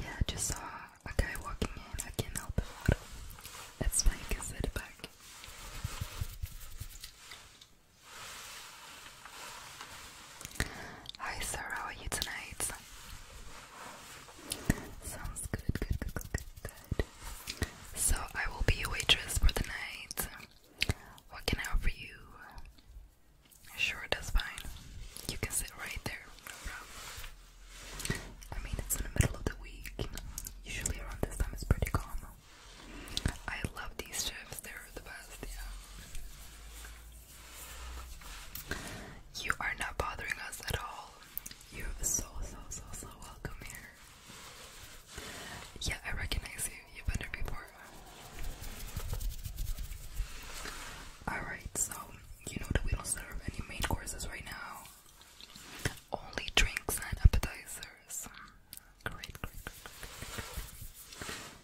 Yeah, I just saw a guy walking in. I can't help it. That's why I can sit back. Hi sir, how are you tonight? Sounds good, good, good, good, good, So I will be your waitress for the night. What can I offer you? Sure, that's fine. You can sit right there, I mean, it's in the middle of the week. Usually around this time it's pretty calm. I love these chips, they're the best, yeah. You are not bothering us at all. You're so, so, so, so welcome here. Yeah, I recognize you. You've been here before. Alright, so you know that we don't serve any main courses right now. Only drinks and appetizers. Great,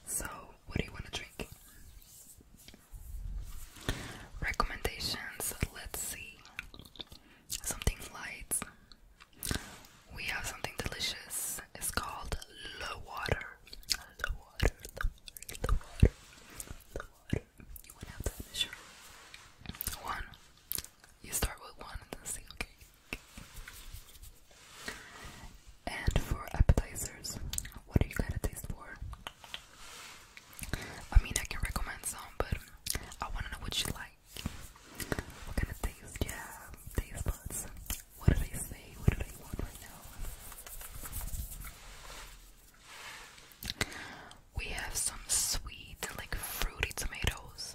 So, what do you want to drink? Recommendations, let's see. Something light. We have something delicious. It's called low water. Low water, low water, low water, You want to have that measure? One. You start with one and then say, okay. And for appetizers, what do you got a taste for? I mean, I can recommend some, but I want to know what you like. What kind of taste do Taste buds. What do they say? What do they want right now? We have some sweet, like fruity tomatoes.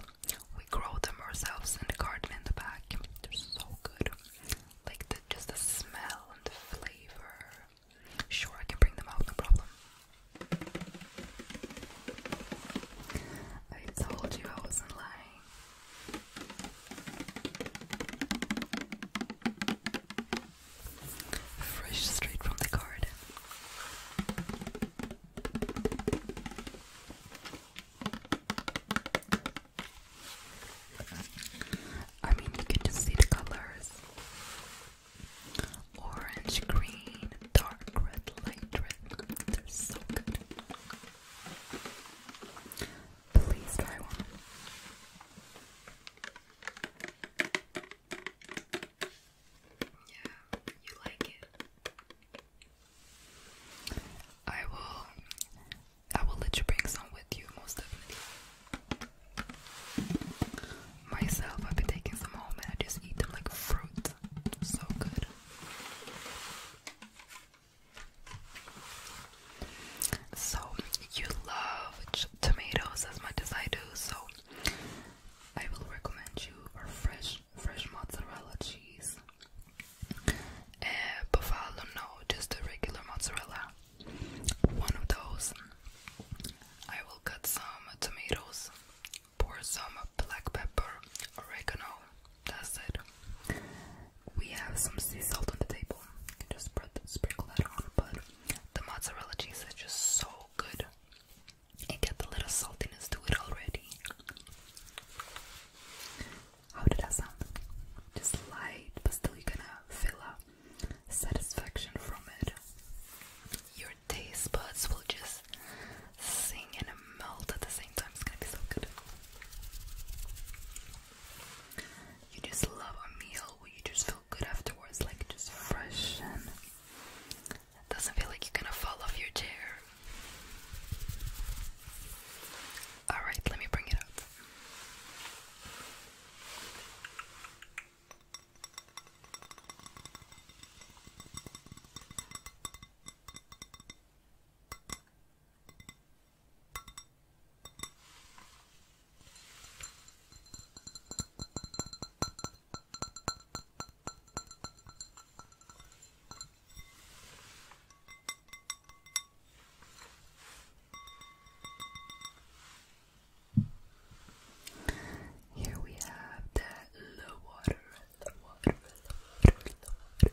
We grow them ourselves in the garden in the back. They're so good. Like the, just the smell and the flavor. Sure, I can bring them out, no problem. I told you I wasn't lying. Fresh straight from the garden. I mean, you can just see the colors orange, green, dark red, light red. They're so good. Please try one. Yeah, you like it. I will I will let you bring some with you most definitely. Myself, I've been taking some home and I just eat them like fruit. So good. So you love tomatoes as much as I do, so I will recommend you fresh fresh, mozzarella cheese. And buffalo, no, just a regular mozzarella. One of those. I will cut some tomatoes, pour some black pepper, oregano. That's it. We have some sea salt on the table. just sprinkle that on, but the mozzarella cheese is just so good. It get the little saltiness to it already. How did that sound? Just light, but still you're gonna feel a satisfaction from it. Your taste buds will just sing and melt at the same time. It's gonna be so good. You just love a meal you just feel good afterwards, like just fresh and it doesn't feel like you're gonna fall off your chair. Alright, let me bring it up. Here we have the low water, low water, low water, low water.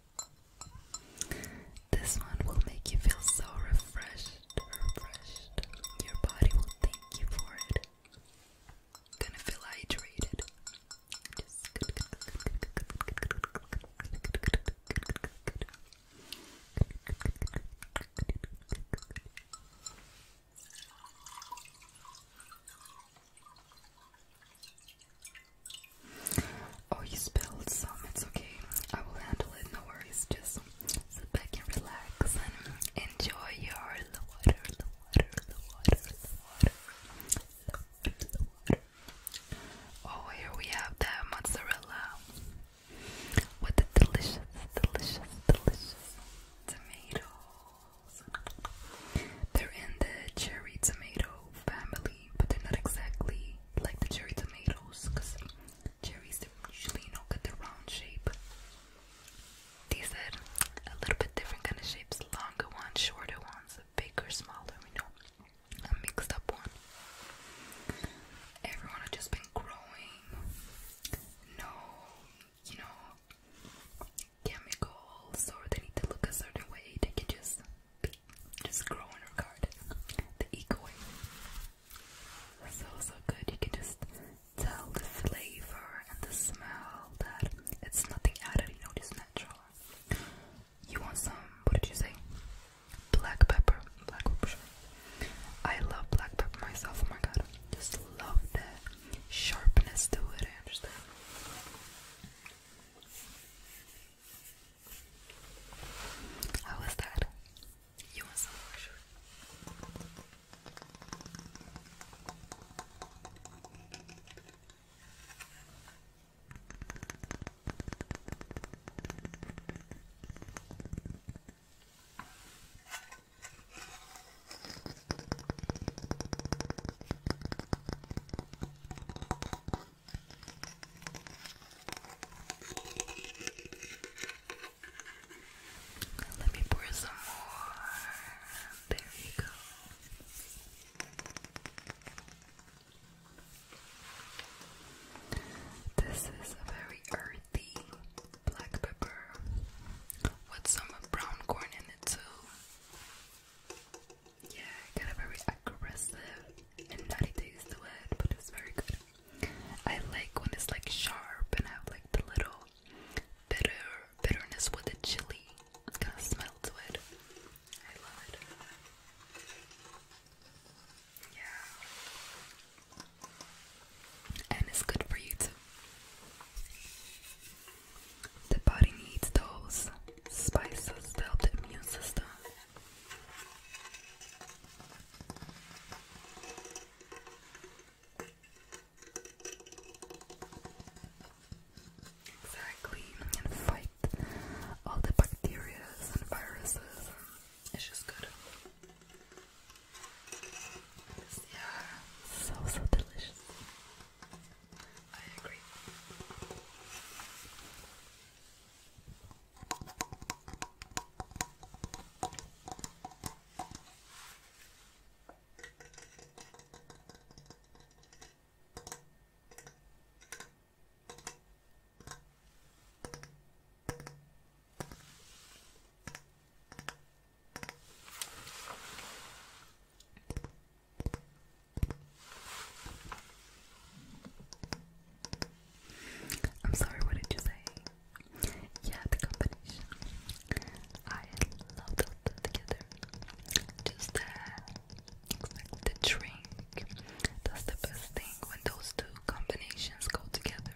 This one will make you feel so refreshed, refreshed. Your body will thank you for it. Gonna feel hydrated. Oh, you spilled some. It's okay. I will handle it. No worries. Just sit back and relax and enjoy your the water, the water, the water, the water, the water, the water. Oh, here we have the mozzarella with the delicious, delicious, delicious tomatoes. They're in the cherry tomato family, but they're not exactly like the cherry tomatoes because cherries are usually not know the round shape. These are a little bit different kind of shapes, longer ones, shorter ones, bigger, smaller, you know, a mixed up one. Everyone has just been growing. No, you know, chemicals or they need to look a certain way. They can just just grow in The eco That's also good. You can just tell the flavor and the smell that it's nothing added, you know, just natural. You want some, what did you say? Black pepper. Black pepper, I love black pepper myself, oh my god. Just love that sharpness to it, I understand. How was that? You want some more? Let me pour some more. There you go. This is a very earthy black pepper with some brown corn in it too yeah, kind of very aggressive and nutty taste to it, but it's very good. I like when it's like sharp and have like the little bitter bitterness with the chili kind of smell to it. I love it. Yeah. And it's good for you too. The body needs those spices to help the immune system. Exactly, fight all the bacteria and viruses. It's just good. They so so delicious. I agree. I'm sorry, what did you say? Yeah, the combination. I love those together. Just the, the drink. That's the best thing when those two combinations go together.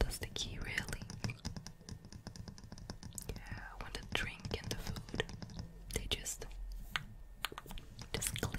That's the key, really. Yeah, when the drink and the food. They just just click,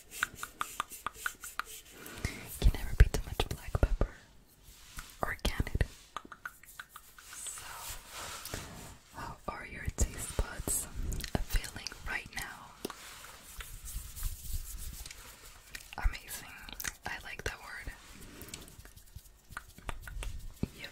Can never be too much black pepper, or So, how are your taste buds feeling right now? Amazing. I like that word. Yep.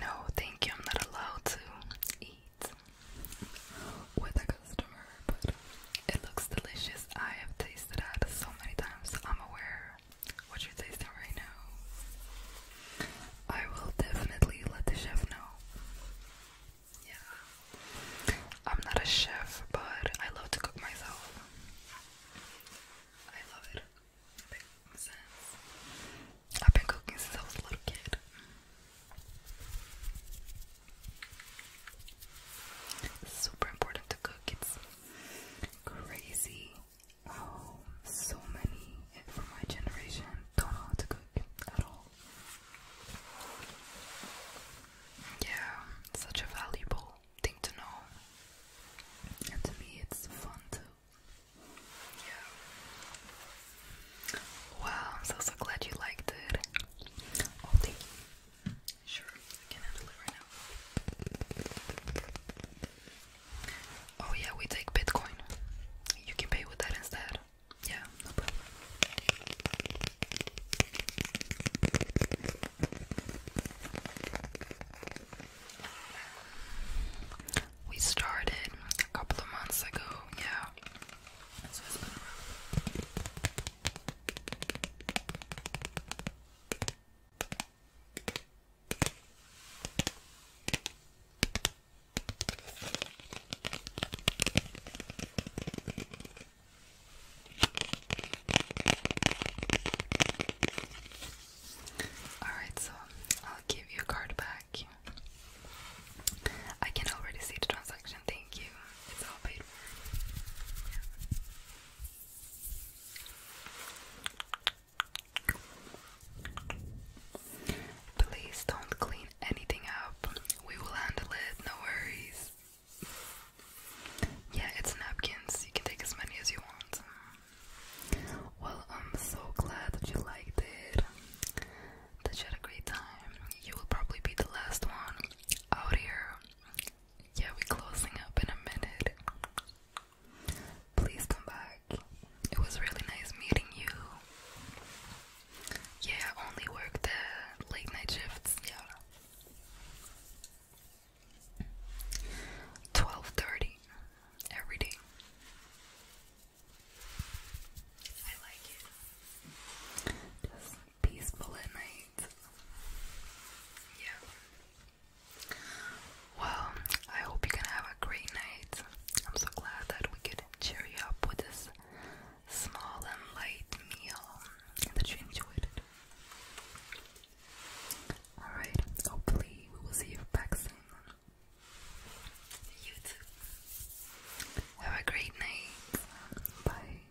No, thank you. I'm not allowed to eat with a customer, but it looks delicious. I have tasted that so many times. I'm aware what you're right now. I will definitely let the chef know. Yeah. I'm not a chef, but I love to cook myself. I love it. makes sense. I've been cooking since I was a little kid. super important to cook. It's crazy. Oh, so many from my generation don't know how to cook. Yeah, such a valuable thing to know. And to me, it's fun too. Yeah. Wow, I'm so so glad you liked it. Oh, thank you. Sure, I can handle it right now. Oh yeah, we take Bitcoin. You can pay with that instead. Yeah, no We started a couple of months ago, yeah. Alright, so I'll give you a card back. I can already see the transaction, thank you. It's all paid for. Please don't clean anything up. We will handle it, no worries. Yeah, it's napkins. You can take as many as you want. Well, I'm so glad that you liked it. That you had a great time. You will probably be the last one out here. Yeah, we're closing up in a minute. Please come back. It was really nice meeting you. Yeah, I only work the late night shifts. Yeah. 12:30 every day. I like it. Just peaceful at night. Yeah. Well, I hope you can have a great night. I'm so glad that we could cheer you up with this small and light meal and that you enjoyed it. Alright, hopefully we will see you back soon. Have a great night. Bye.